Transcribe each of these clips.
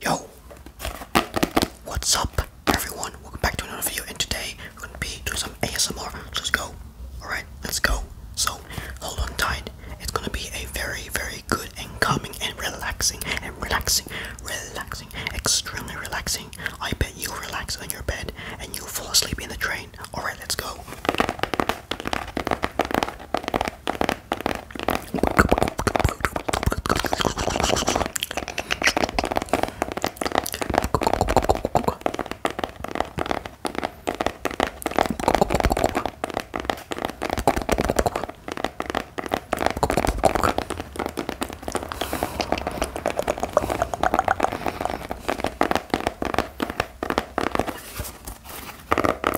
Yo, what's up, everyone? Welcome back to another video, and today we're gonna be doing some ASMR. let's go. All right, let's go. So hold on tight. It's gonna be a very, very good and calming and relaxing and relaxing, relaxing, extremely relaxing. I bet you relax on your bed and you fall asleep in the train. All right, let's go.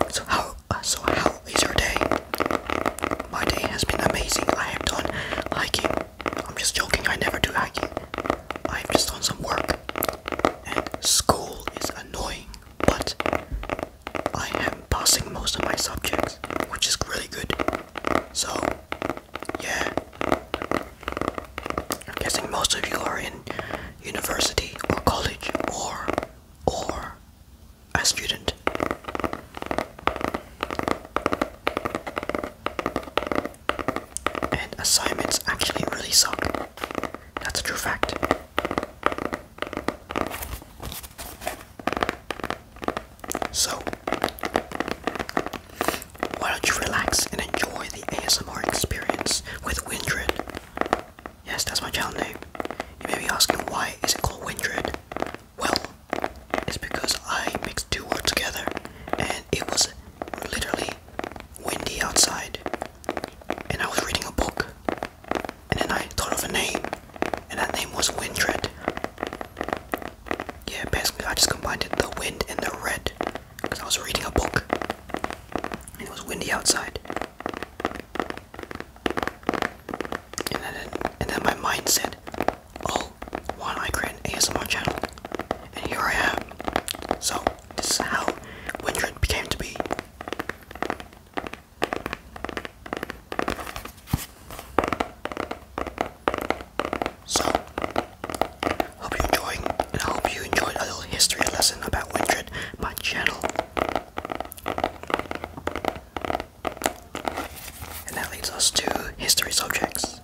So how, uh, so how It's your day? My day has been amazing. I have done hiking. I'm just joking, I never do hiking. i am just done some work. And school is annoying, but I am passing most of my subjects, which is really good. So, yeah. I'm guessing most of you are in university or college or or a student. And assignments actually really suck. That's a true fact. So, why don't you relax and enjoy the ASMR experience with Windred? Yes, that's my channel name. You may be asking why is it called Windred? Well, it's because I mixed two words together and it was literally windy outside. And I was reading a book. And then I thought of a name. And that name was Windred. Yeah, basically I just combined the wind and the red. Because I was reading a book. And it was windy outside. And then, and then my mind said, oh, why don't I create ASMR channel? And here I am. So, this is how Windred became to be. So, hope you're enjoying, and I hope you enjoyed a little history lesson about Windred, my channel. And that leads us to history subjects.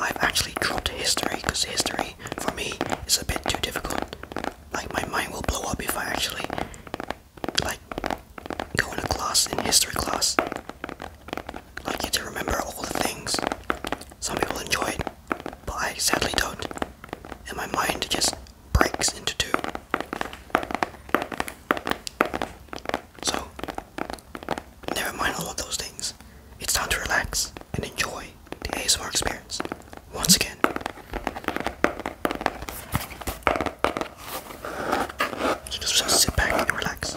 I've actually dropped history because history for me is a bit too difficult. Like my mind will blow up if I actually like go in a class in history class. Like you to remember all the things. Some people enjoy it, but I sadly don't. And my mind just breaks into two. So, never mind all of those things. It's time to relax and enjoy the ASMR experience once again. You just sit back and relax.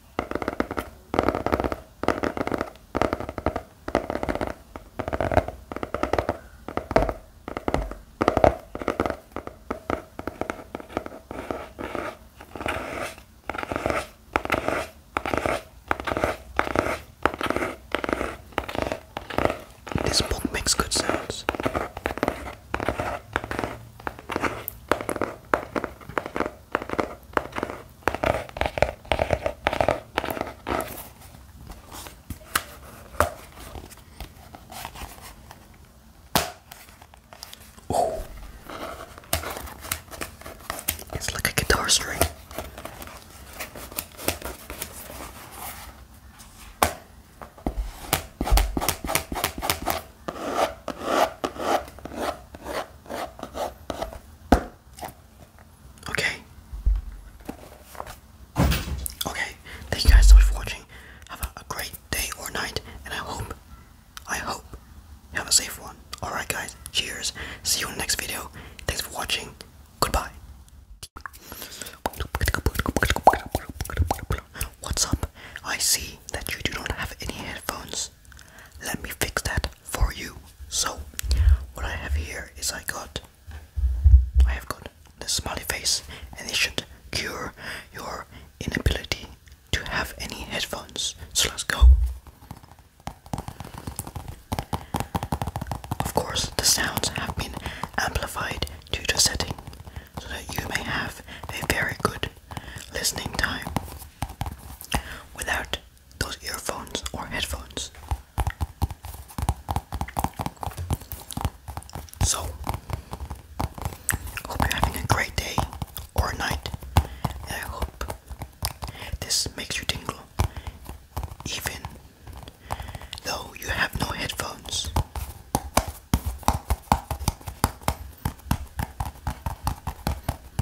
This book makes good sense. Oh, it's like a guitar string. Okay. Okay. Thank you guys so much for watching. Have a, great day or night, and I hope, I hope, have a safe one. Alright, guys. Cheers. See you in the next video. Thanks for watching. Goodbye. What's up? I see that you do not have any headphones. Let me fix that for you. So, what I have here is I got, I have got the smiley face, and it should cure your inability to have any headphones. So let's go. Of course, the sounds have been amplified due to setting so that you may have a very good listening time without those earphones or headphones. So, hope you're having a great day or night, I hope this makes you tingle, even though you have no headphones.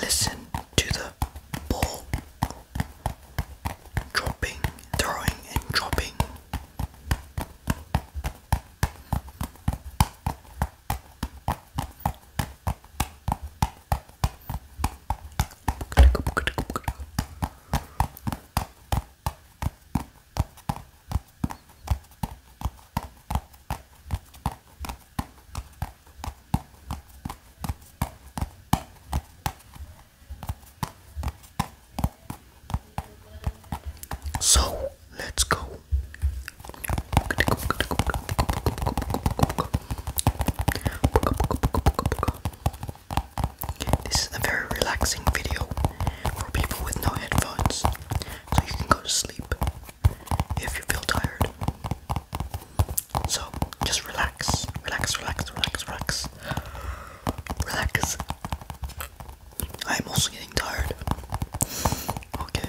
Listen to the ball dropping, throwing, and dropping. So let's go. This is a very relaxing video for people with no headphones, so you can go to sleep if you feel tired. So just relax, relax, relax, relax, relax, relax. I'm also getting tired. Okay.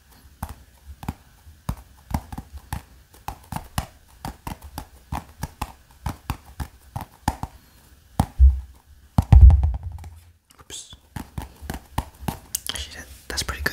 Oops. Actually, that, that's pretty good.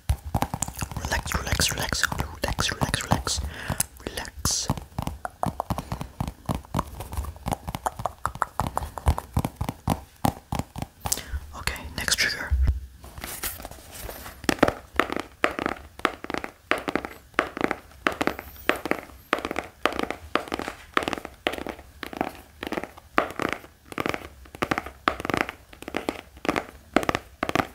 Relax, relax, relax, relax, relax, relax, relax. Okay, next trigger.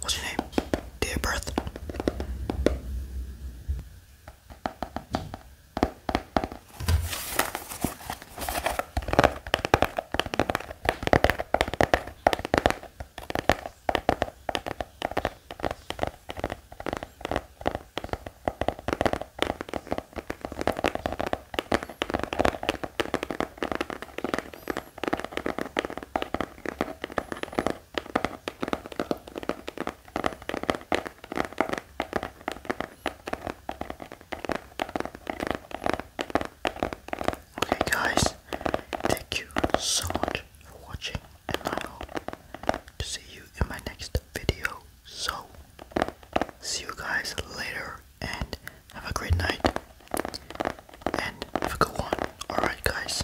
What's your name? Dear Birth. Okay, guys, thank you so much for watching, and I hope to see you in my next video. So, see you guys later, and have a great night and have a good one. Alright, guys.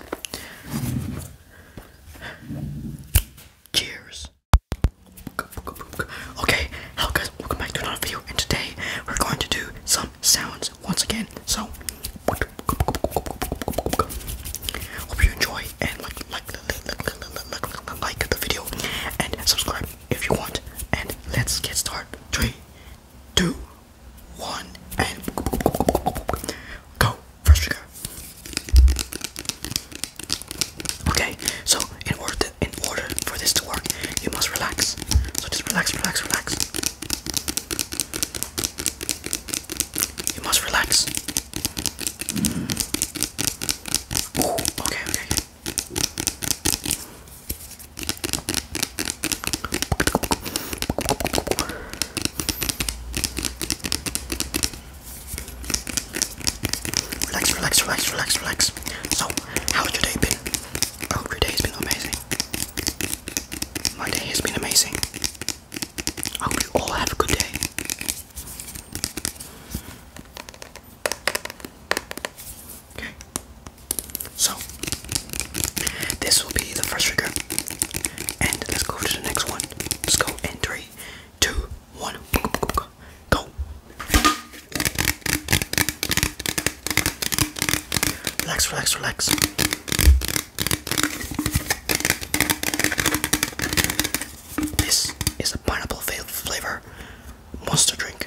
Cheers. Okay, hello guys, welcome back to another video, and today we're going to do some sounds once again. So, hope you enjoy and like, like, like, like the video, and subscribe if you want. And let's get started. Three, two, one, and go. First go. Okay, so in order to, in order for this to work, you must relax. So just relax, relax, relax. You must relax. okay, okay. Relax, relax, relax, relax, relax. So, how's your day been? hope your day has been amazing. My day has been amazing. hope you all have a good day. Okay. So, this will be the first trigger. And let's go to the next one. Let's go in three, two, one. Go. Relax, relax, relax. This is a pineapple flavor monster drink.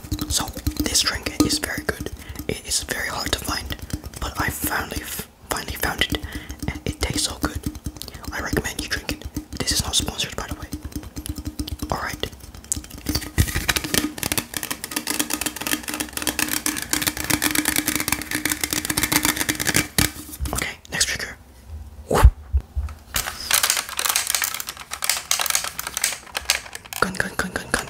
So this drink is very good. It is very hard to find, but I finally finally found it, and it tastes so good. I recommend you drink it. This is not sponsored, by the way. All right. Okay, next trigger. Gun, gun, gun, gun, gun.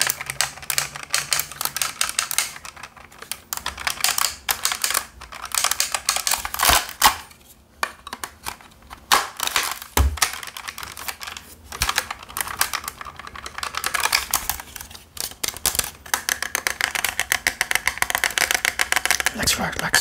Relax, relax, relax.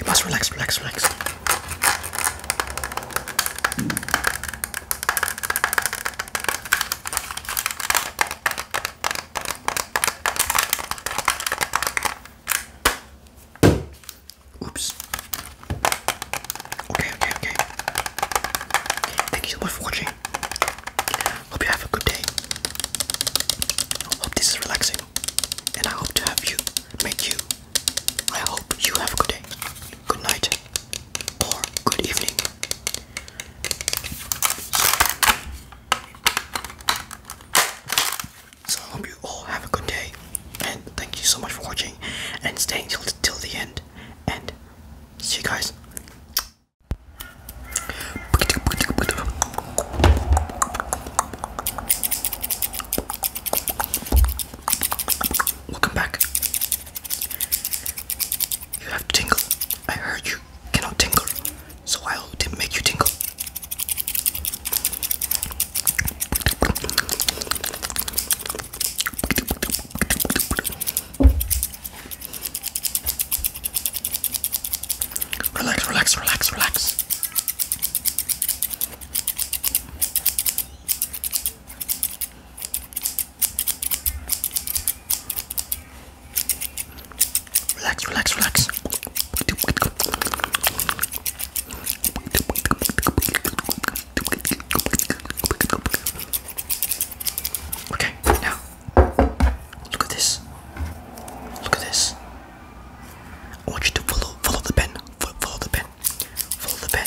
You must relax, relax, relax. Mm. Oops. Okay, okay, okay. Thank you so much for watching. Hope you have a good day. Hope this is relaxing. And I hope to have you, make you. I hope you have a good day. Good night good evening. So you all have a good day, and thank you so much for watching and staying till till the end. And see you guys. Welcome back. You have to tingle. I heard you cannot tingle, so I'll make you tingle. Relax, relax, relax, relax. Relax, relax, relax. Okay, now look at this. Look at this. I want you to follow follow the pen. Follow the pen. Follow the pen.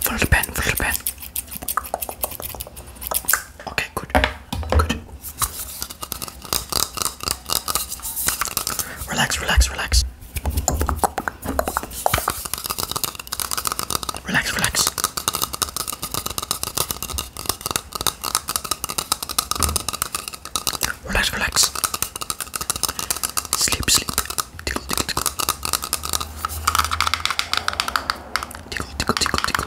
Follow the Okay, good, good. Relax, relax, relax. Relax, relax. Relax, relax. Sleep, sleep. Tickle, tickle, tickle. Tickle, tickle, tickle, tickle.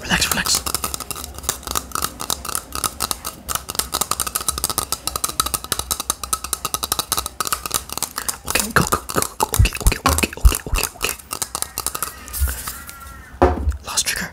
Relax, relax. Okay, go, go, go, go. Okay, okay, okay, okay, okay, okay. Last trigger.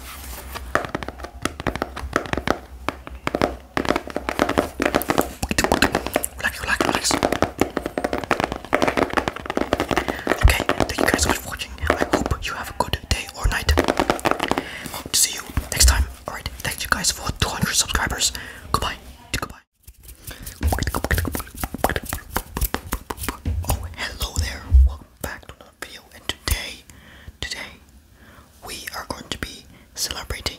Okay, thank you guys for watching. I hope you have a good day or night. see you next time. Alright, thank you guys for 200 subscribers. Goodbye. Goodbye. Oh, hello there. Welcome back video and today today we are going to be celebrating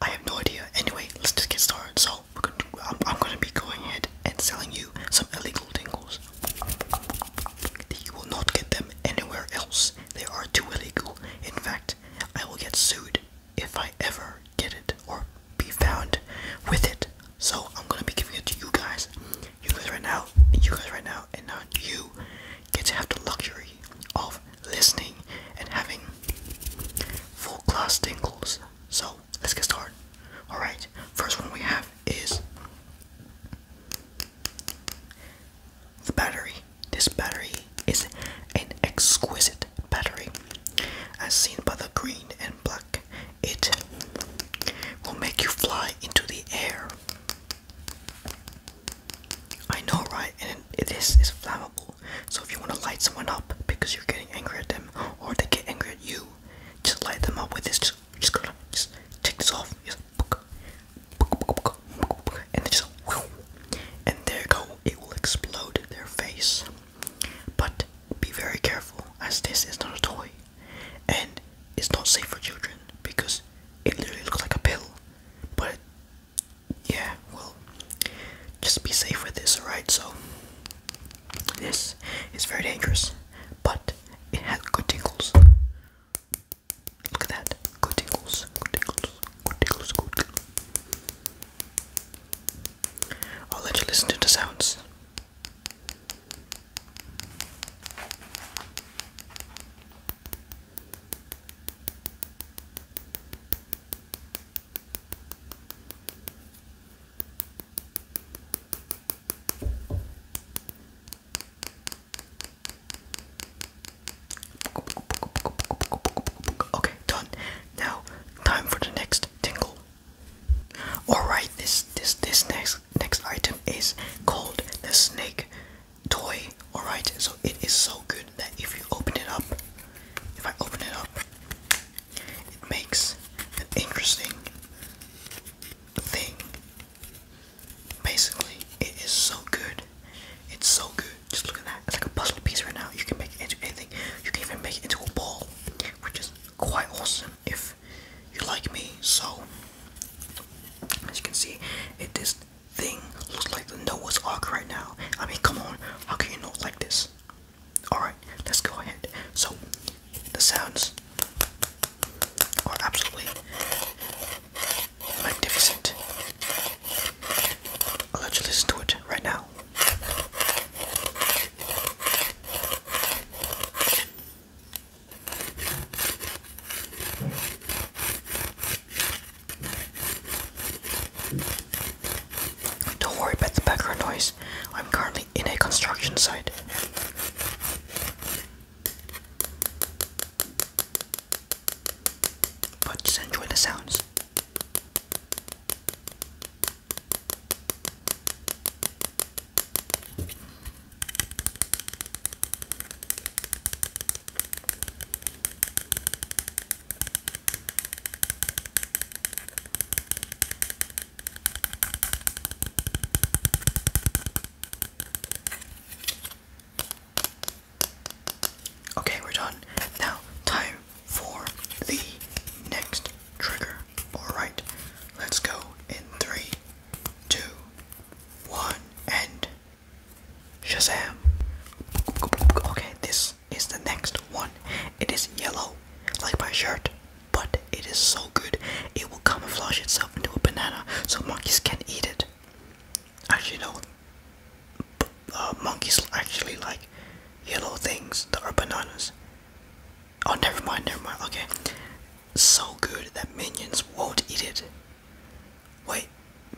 I have no idea anyway let's just get started so I'm, gonna be going ahead and selling you some illegal dingles. you will not get them anywhere else they are too illegal in fact I will get sued if I ever get it or be found with it. So I'm gonna be giving it to you guys. You guys right now, you guys right now, and now you get to have the luxury of listening and having full class tingles. So let's get started. Alright, first one we have is the battery. This battery is an exquisite battery, as seen by the green and black it will make you fly into the air. I know, right? And it is is flammable. So if you want to light someone up because you're getting angry at them, or they get angry at you, just light them up with this. Just, just, going just take this off. and then just, and there you go. It will explode their face. But be very careful, as this is not a toy and it's not safe for children because it literally looks like a pill. But yeah, well, just be safe with this, alright? So this is very dangerous, but it has good tingles. Look at that, good tingles, good tingles, good tingles, good. Tingles. I'll let you listen to the sounds. Okay, done. Now, time for the next tingle. Alright, this this this next next item is called the snake toy. Alright, so it is so good that if you open it up, if I open it up, it makes an interesting thing. Basically, it is so good. It's so good. Just look at that. It's like a puzzle piece right now. You can make it into anything. You can even make it into a ball, which is quite awesome if you like me. So, as you can see, it this thing looks like the Noah's Ark right now. I mean, come on, how can you not like this? Alright, let's go ahead. So, the sounds are absolutely magnificent. I'll let you listen to it right now. Don't worry about the background noise. I'm currently in a construction site. But just enjoy the sounds. Okay, we're done. Now, time for the next trigger. Alright, let's go in three, two, one, and Shazam! Okay, this is the next one. It is yellow, like my shirt, but it is so good it will camouflage itself into a banana so monkeys can eat it. Actually, no. Uh, monkeys actually like yellow things that are bananas. Oh, never mind, never mind. Okay. So good that minions won't eat it. Wait,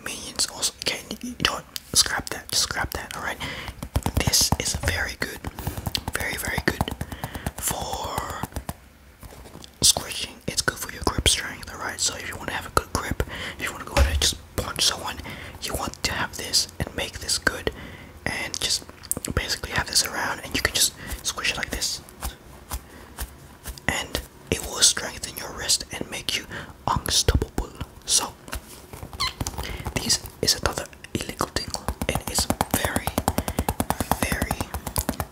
minions also. Okay, you know what? Scrap that. scrap that, alright? This is very good. Very, very good for squishing. It's good for your grip strength, alright? So if you want to have a good grip, if you want to go ahead and just punch someone, you want to have this and make this good and just basically have this around and you can just squish it like this and it will strengthen your wrist and make you unstoppable so this is another illegal tingle and it's very very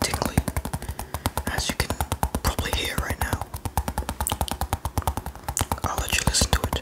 tingly as you can probably hear right now I'll let you listen to it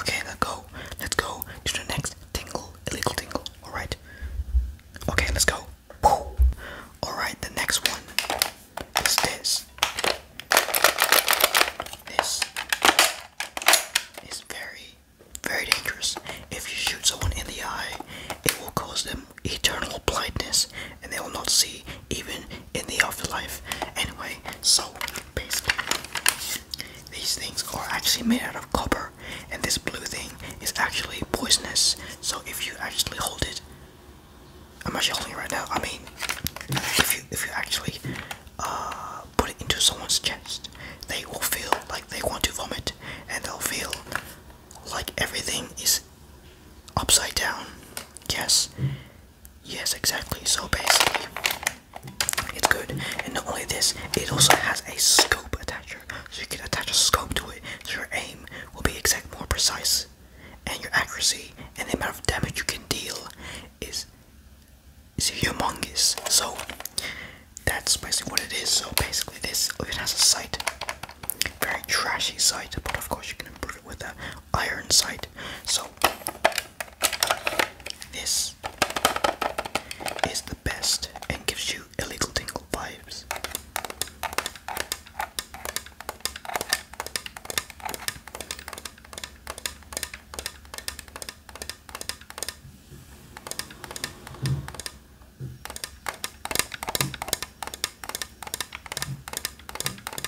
Okay, let's go. Let's go to the next tingle, illegal tingle. All right. Okay, let's go. All right, the next one is this. This is very, very dangerous. If you shoot someone in the eye, it will cause them eternal blindness, and they will not see even in the afterlife. Anyway, so basically, these things are actually made out of copper, and this blue thing is actually poisonous. So if you actually hold it, I'm actually holding it right now. I mean, if you if you actually uh, put it into someone's chest, they will feel like they want to vomit, and they'll feel like everything is upside down. Yes, Yes, exactly. So basically, it's good. And not only this, it also has a scope attachment, So you can attach a scope to it, so your aim will be exact more precise. And your accuracy and the amount of damage you can deal is is humongous. So that's basically what it is. So basically this it has a sight. Very trashy sight, but of course you can improve it with a iron sight. So this is the best and gives you illegal tingle vibes.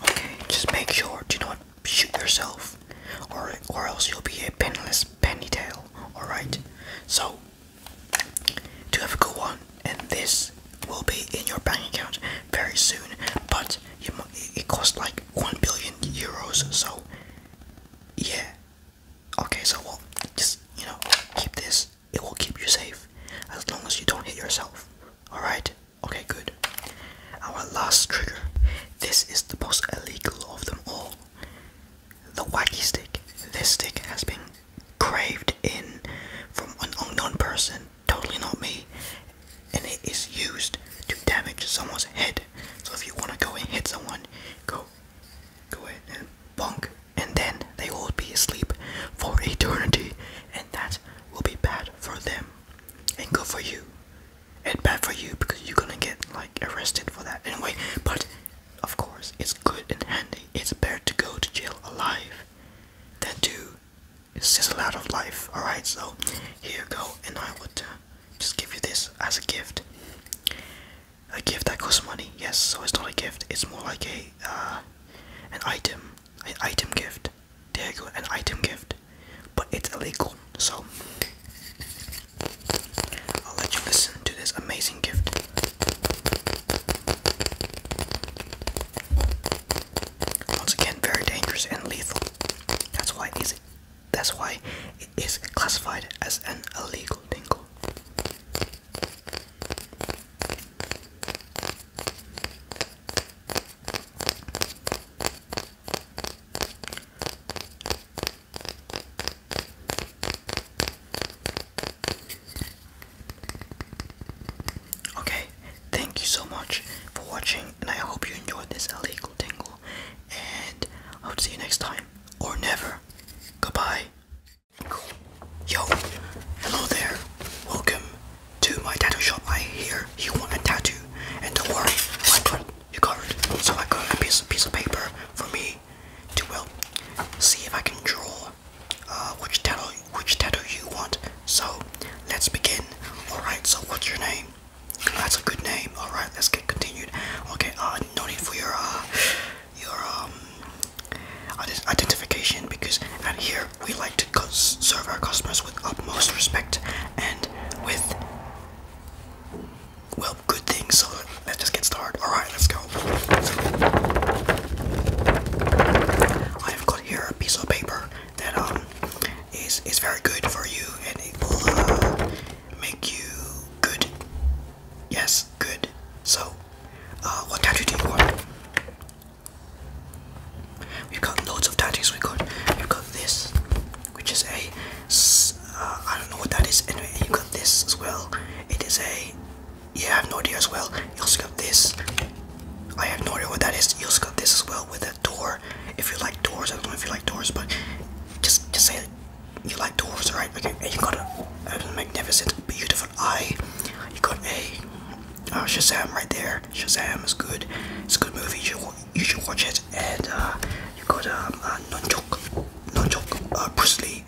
Okay, just make sure do not shoot yourself or or else you'll be a penniless penny tail, alright? So do have a good one and this will be in your bank account very soon. But it cost like 1 billion euros so yeah okay so well just you know keep this it will keep you safe as long as you don't hit yourself all right okay good our last trigger this is the most illegal of them all the wacky stick this stick has been craved in from an unknown person totally not me, and it is used to damage someone's head. So if you want to go and hit someone, go, go ahead and bonk, and then they will be asleep for eternity, and that will be bad for them, and good for you, and bad for you because you're gonna get like arrested for that anyway. But of course, it's good and handy. It's better to go to jail alive than to it's just a lot of life all right so here you go and i would uh, just give you this as a gift a gift that costs money yes so it's not a gift it's more like a uh, an item an item gift there you go an item gift but it's illegal so i'll let you listen to this amazing gift once again very dangerous and lethal that's why it's that's why it is classified as an illegal tingle. Okay, thank you so much for watching, and I hope you enjoyed this illegal tingle. And I will see you next time, or never. Goodbye. Yo, hello there. Welcome to my tattoo shop. I hear you want a tattoo, and don't worry, I got you covered. So I got a piece piece of paper for me to well see if I can draw uh, which tattoo which tattoo you want. So let's begin. Alright, so what's your name? That's a good name. All right, let's get continued. Okay, uh, no need for your uh, your um identification because at here we like to serve our customers with utmost respect and with well good things. So let's just get started. All right, let's go. I have got here a piece of paper that um, is is very good for you, and it will uh, make you good. Yes, good. So, uh, what tattoo do you want? We've got loads of tattoos. We got we've got this, which is a uh, don't know what that is. Anyway, you have got this as well. It is a yeah, I have no idea as well. You also got this. I have no idea what that is. You also got this as well with it that If you like doors, I don't know if you like doors, but just just say you like doors, right? Okay, you got a, magnificent, beautiful eye. You got a uh, Shazam right there. Shazam is good. It's a good movie. You should, watch it. And uh, you got a um, non uh, Nunchuk, non uh, Bruce Lee,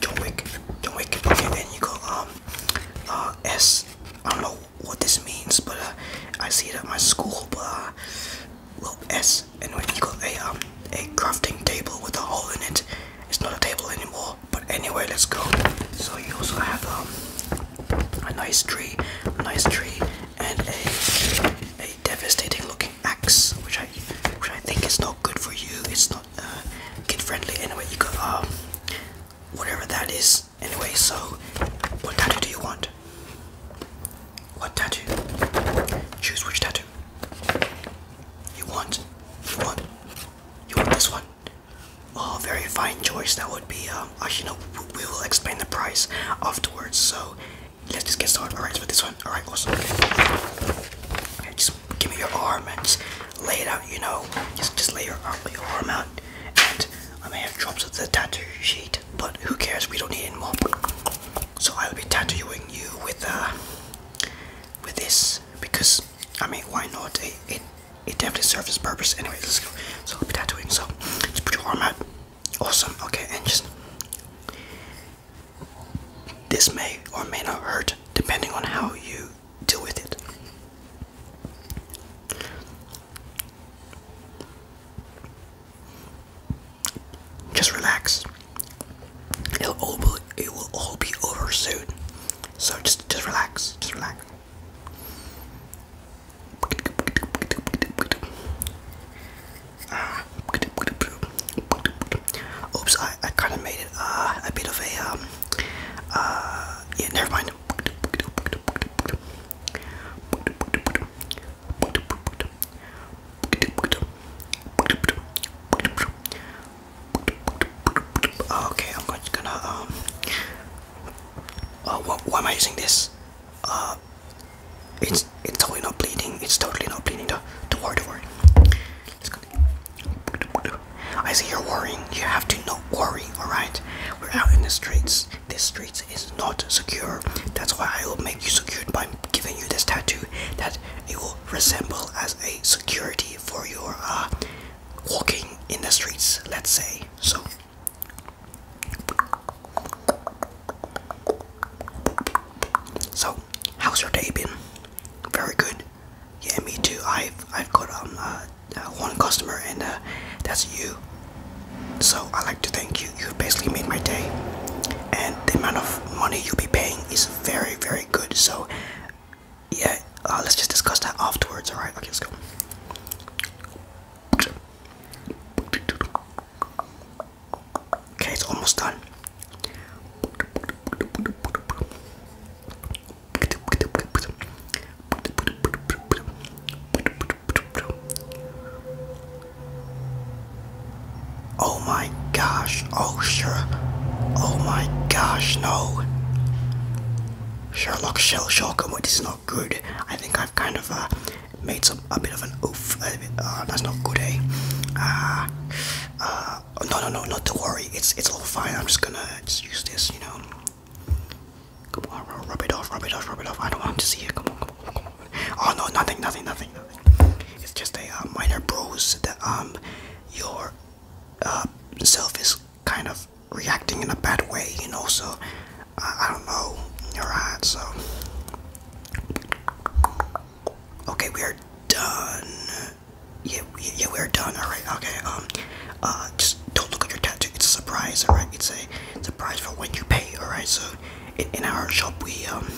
John Wick, John Okay, and you got um, uh, S. I don't know what this means, but uh, I see it at my school. But uh, well, S and when you got a um, a crafting table with a hole in it, it's not a table anymore. But anyway, let's go. So you also have um a nice tree, a nice tree, and a a devastating looking axe, which I which I think is not good for you. It's not uh, kid friendly. Anyway, you got um whatever that is Anyway, so what tattoo do you want? What tattoo? Choose which tattoo. You want? You want? You want this one? Oh, very fine choice. That would be, um, you know, we will explain the price afterwards. So let's just get started. Alright, right, let's put this one. Alright, awesome. Okay. okay, just give me your arm and just lay it out, you know. Just, just lay your arm, your arm out. And I may have drops of the tattoo sheet but who cares? We don't need any more. So I will be tattooing you with uh, with this because I mean, why not? It it, it definitely serves its purpose. Anyway, let's go. So I'll be tattooing. So just put your arm out. Awesome. Okay, and just this may or may not hurt depending on how you deal with it. Just relax. It'll all be, it will all be over soon. So just just relax. Just relax. Ah. oops, I, I kind of made it uh, a bit of a um uh yeah never mind. Okay, I'm just gonna um. Uh, why am I using this? Uh, it's it's totally not bleeding. It's totally not bleeding. don't worry, don't worry. I see you're worrying. You have to not worry. All right, we're out in the streets. This street is not secure. That's why I will make you secure by giving you this tattoo that it will resemble as a security for your uh, walking in the streets, let's say. So so, how's your day been? Very good. Yeah, me too. I've I've got um uh, uh, one customer, and uh, that's you. So I like to thank you. You basically made my day. And the amount of money you'll be paying is very, very good. So yeah, uh, let's just discuss that afterwards. All right, okay, let's go. Okay, it's almost done. Oh my gosh, oh sure. Oh my gosh, no. Sherlock Shell Shellcombo, this is not good. I think I've kind of uh, made some a bit of an oof. Uh, that's not good, eh? Uh, uh, no, no, no, not to worry. It's it's all fine. I'm just gonna just use this, you know. Come on, rub it off, rub it off, rub it off. I don't want to see it. Come on, come on, come on. Oh no, nothing, nothing, nothing, It's just a uh, minor bruise that um your uh, self is kind of reacting in a bad way, you know. So I don't know. All right, so okay, we are done. Yeah, we, yeah, we're done. All right, okay. Um, uh, just don't look at your tattoo. It's a surprise. All right, it's a surprise for when you pay. All right, so in, our shop we um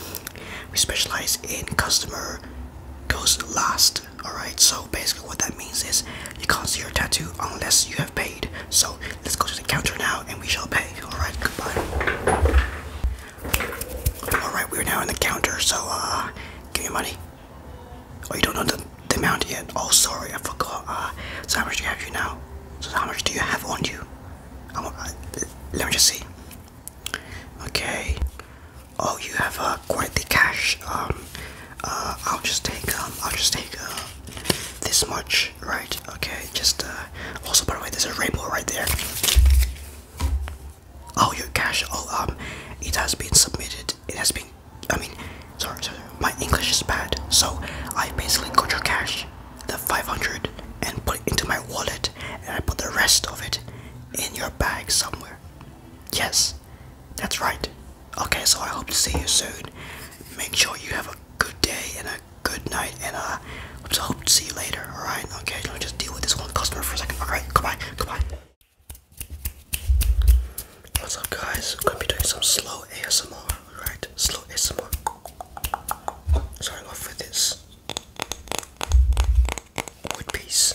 we specialize in customer goes last all right so basically what that means is you can't see your tattoo unless you have paid so let's go to the counter now and we shall pay all right goodbye all right we're now in the counter so uh give me money oh you don't know the, the amount yet oh sorry i forgot uh so how much do you have you now so how much do you have on you let me just see. Okay. Oh, you have uh, quite the cash. Um, uh, I'll just take um, I'll just take uh, this much, right? Okay. Just uh, also by the way, there's a rainbow right there. Oh, your cash. Oh, um, it has been submitted. It has been. I mean, sorry, sorry. My English is bad, so I basically got your cash the 500 and put it into my wallet and I put the rest of it in your bag somewhere. Yes, that's right. Okay, so I hope to see you soon. Make sure you have a good day and a good night and uh I hope to see you later, alright? Okay, let me just deal with this one customer for a second. Alright, goodbye, goodbye. What's up guys? I'm gonna be doing some slow ASMR, alright? Slow ASMR. Starting off with this wood piece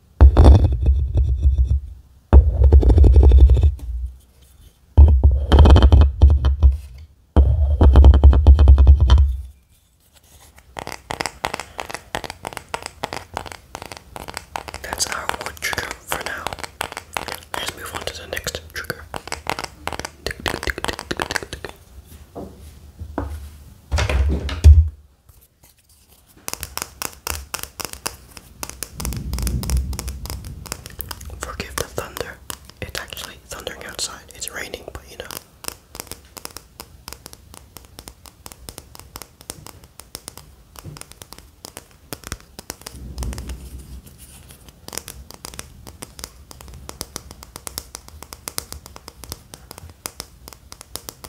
That's our trigger for now. Let's move on to the next trigger. Forgive the thunder. It's actually thundering outside. It's raining, but you know.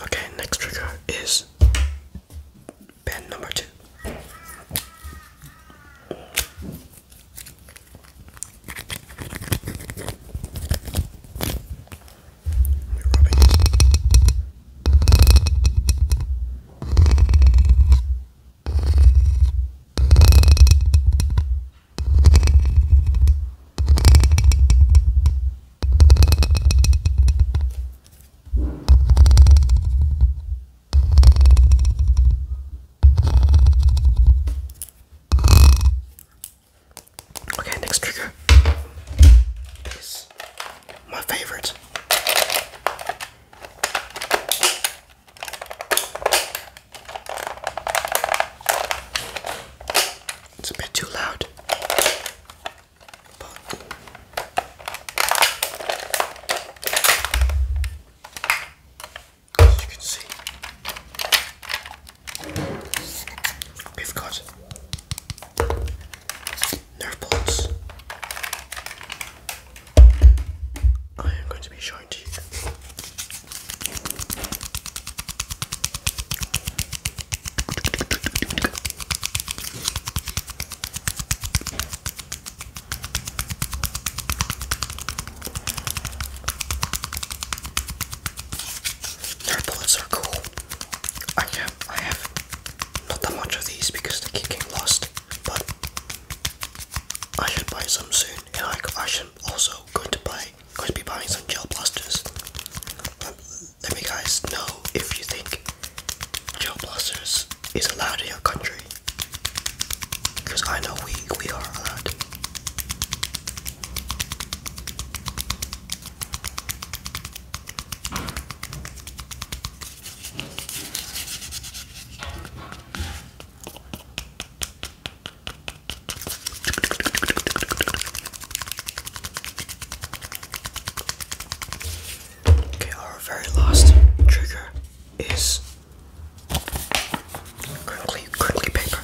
Okay, next trigger is band number 2 Okay, next trigger is my favorite. It's a bit too loud as you can see, we've got nerve bolts. I am going to be showing to you. Nerf are cool. I have, I have not that much of these because they keep getting lost, but I should buy some soon. And I, I should also go to buy, going to be buying some gel blasters let me guys know if you think gel blasters is allowed in your country. Because I know we we are allowed. Okay, our very last trigger is crinkly, crinkly paper.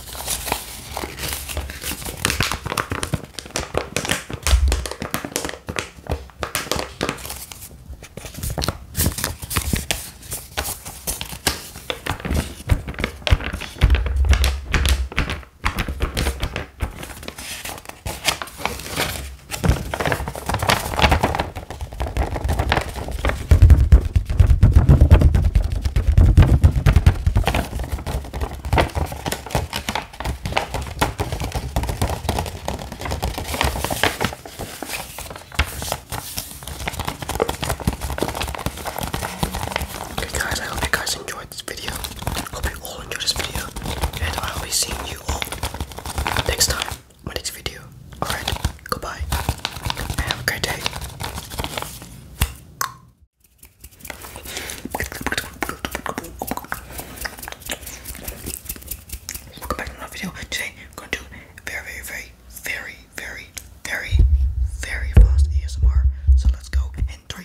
Okay guys, I hope you guys enjoyed this video. Hope you all enjoyed this video, and I'll be seeing you all next time, my next video. Alright, goodbye, have a great day. Welcome back to another video. Today, I'm going to do very, very, very, very, very, very, very fast ASMR. So let's go in three.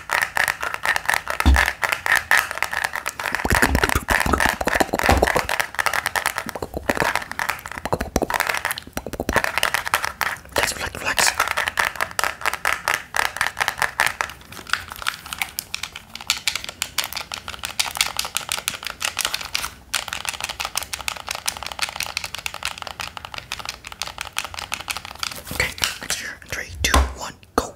Relax, relax, relax. Okay, next year. Three, two, one, go.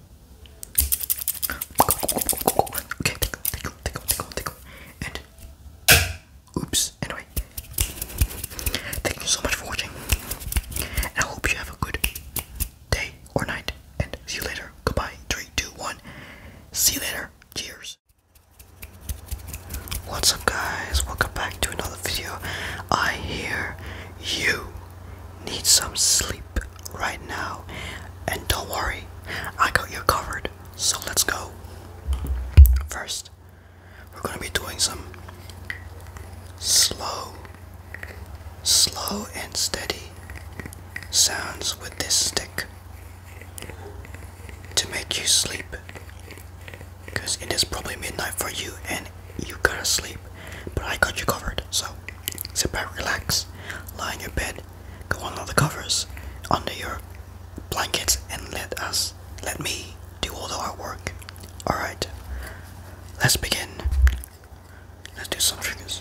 oops. Anyway, thank you so much for watching, and I hope you have a good day or night. And see you later. Goodbye. Three, two, one. See you later. Cheers. What's up, guys? Welcome back to another video. I hear you need some sleep right now. And don't worry, I got you covered. So let's go. First, we're going to be doing some slow, slow and steady sounds with this stick to make you sleep. Because it is probably midnight for you and you gotta sleep. But I got you covered, so sit back, relax, lie in your bed, go under the covers, under your blankets, and let us, let me do all the hard work. Alright, let's begin. Let's do some triggers.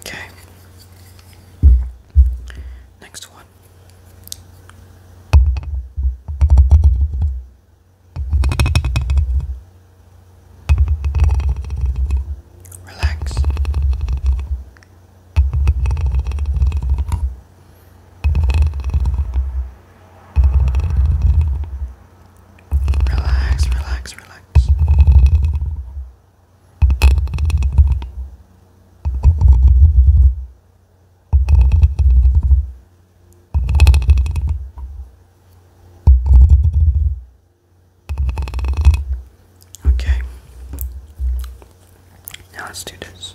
Okay. Next one. Relax. Relax, relax, relax. Okay. Now let's do this.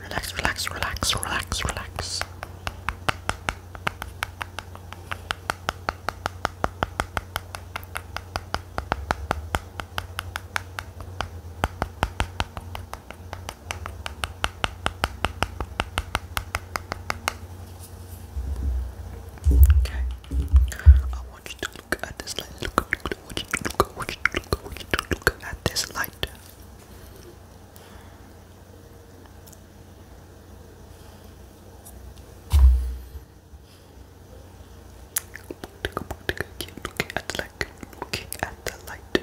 Relax, relax, relax, relax, relax. Okay. I want you to look at this light. Look, look, look, would you look, would you look, would you look at this light? Looking at the light, looking at the light.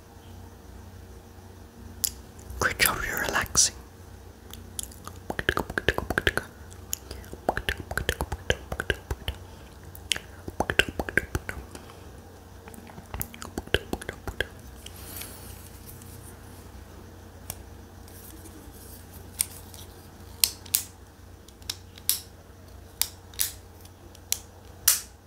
Great job, you're relaxing.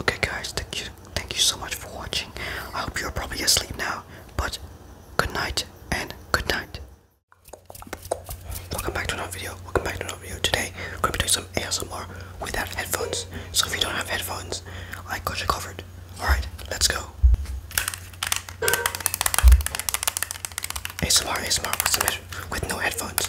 Okay guys, thank you thank you so much for watching. I hope you're probably asleep now, but good night and good night. Welcome back to another video. Welcome back to another video. Today, we're going to be doing some ASMR without headphones. So if you don't have headphones, I got you covered. Alright, let's go. ASMR, ASMR with, with no headphones.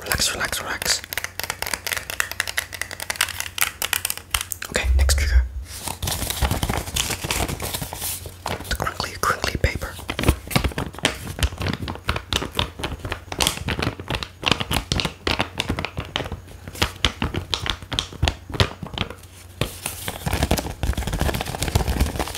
Relax, relax, relax. Okay, next trigger. The crinkly, crinkly paper.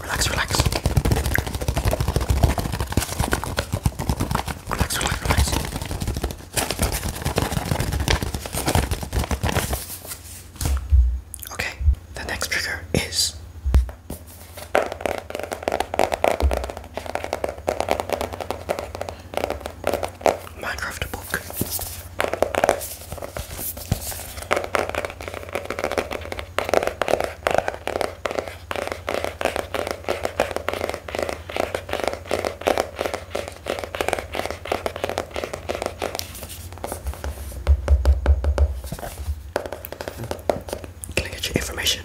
Relax, relax. Relax, relax, relax. Okay, the next trigger is. Minecraft book. get your information?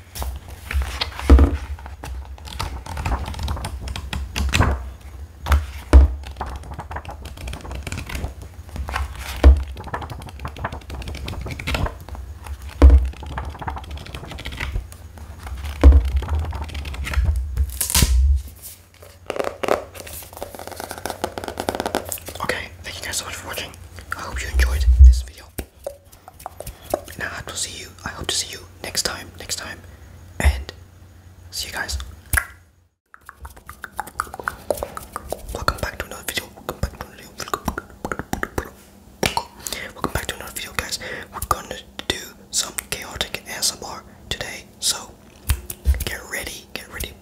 Okay, thank you guys so much for watching. I hope you enjoyed this video. Now I hope to see you. I hope to see you next time. Next time, and see you guys. Welcome back to another video. Welcome back to another video. Welcome back to another video, guys. We're gonna do some chaotic ASMR today, so get ready, get ready,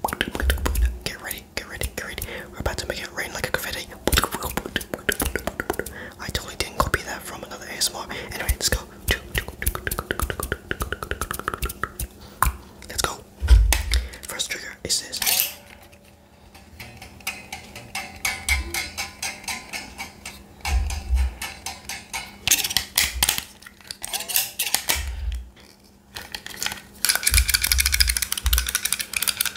get ready, get ready, get ready. We're about to make it rain like a confetti. I totally didn't copy that from another ASMR. Anyway, let's go. Let's go. First trigger is this.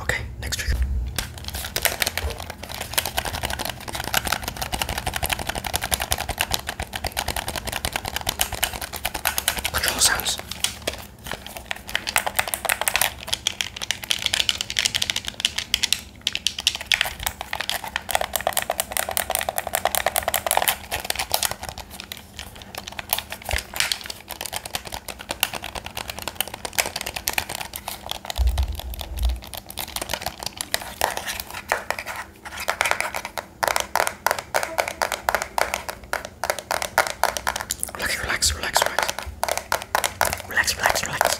Okay, next trigger. Control sounds. Okay, relax, relax, relax. Relax, relax, relax.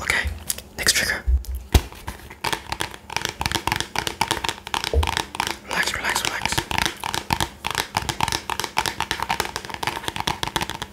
Okay, next trigger. Relax, relax, relax.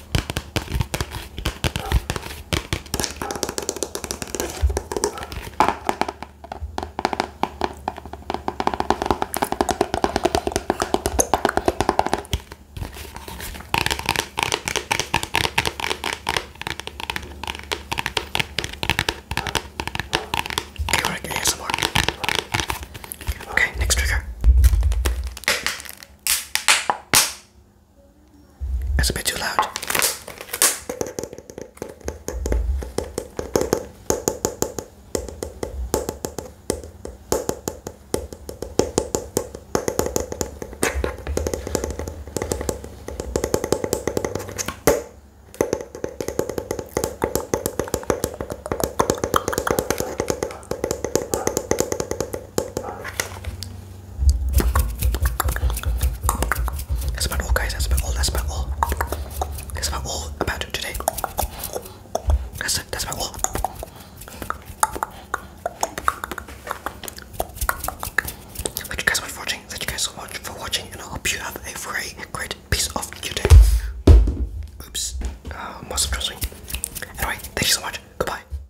Okay, we're gonna get some more. Okay, next trigger. That's a bit too loud. That's about all, guys. That's about all. That's about all. That's about all about today. That's it. That's about all. Thank you guys so much for watching. Thank you guys so much for watching, and I hope you have a very great piece of your day. Oops, uh, most of trusting. Anyway, thank you so much. Goodbye.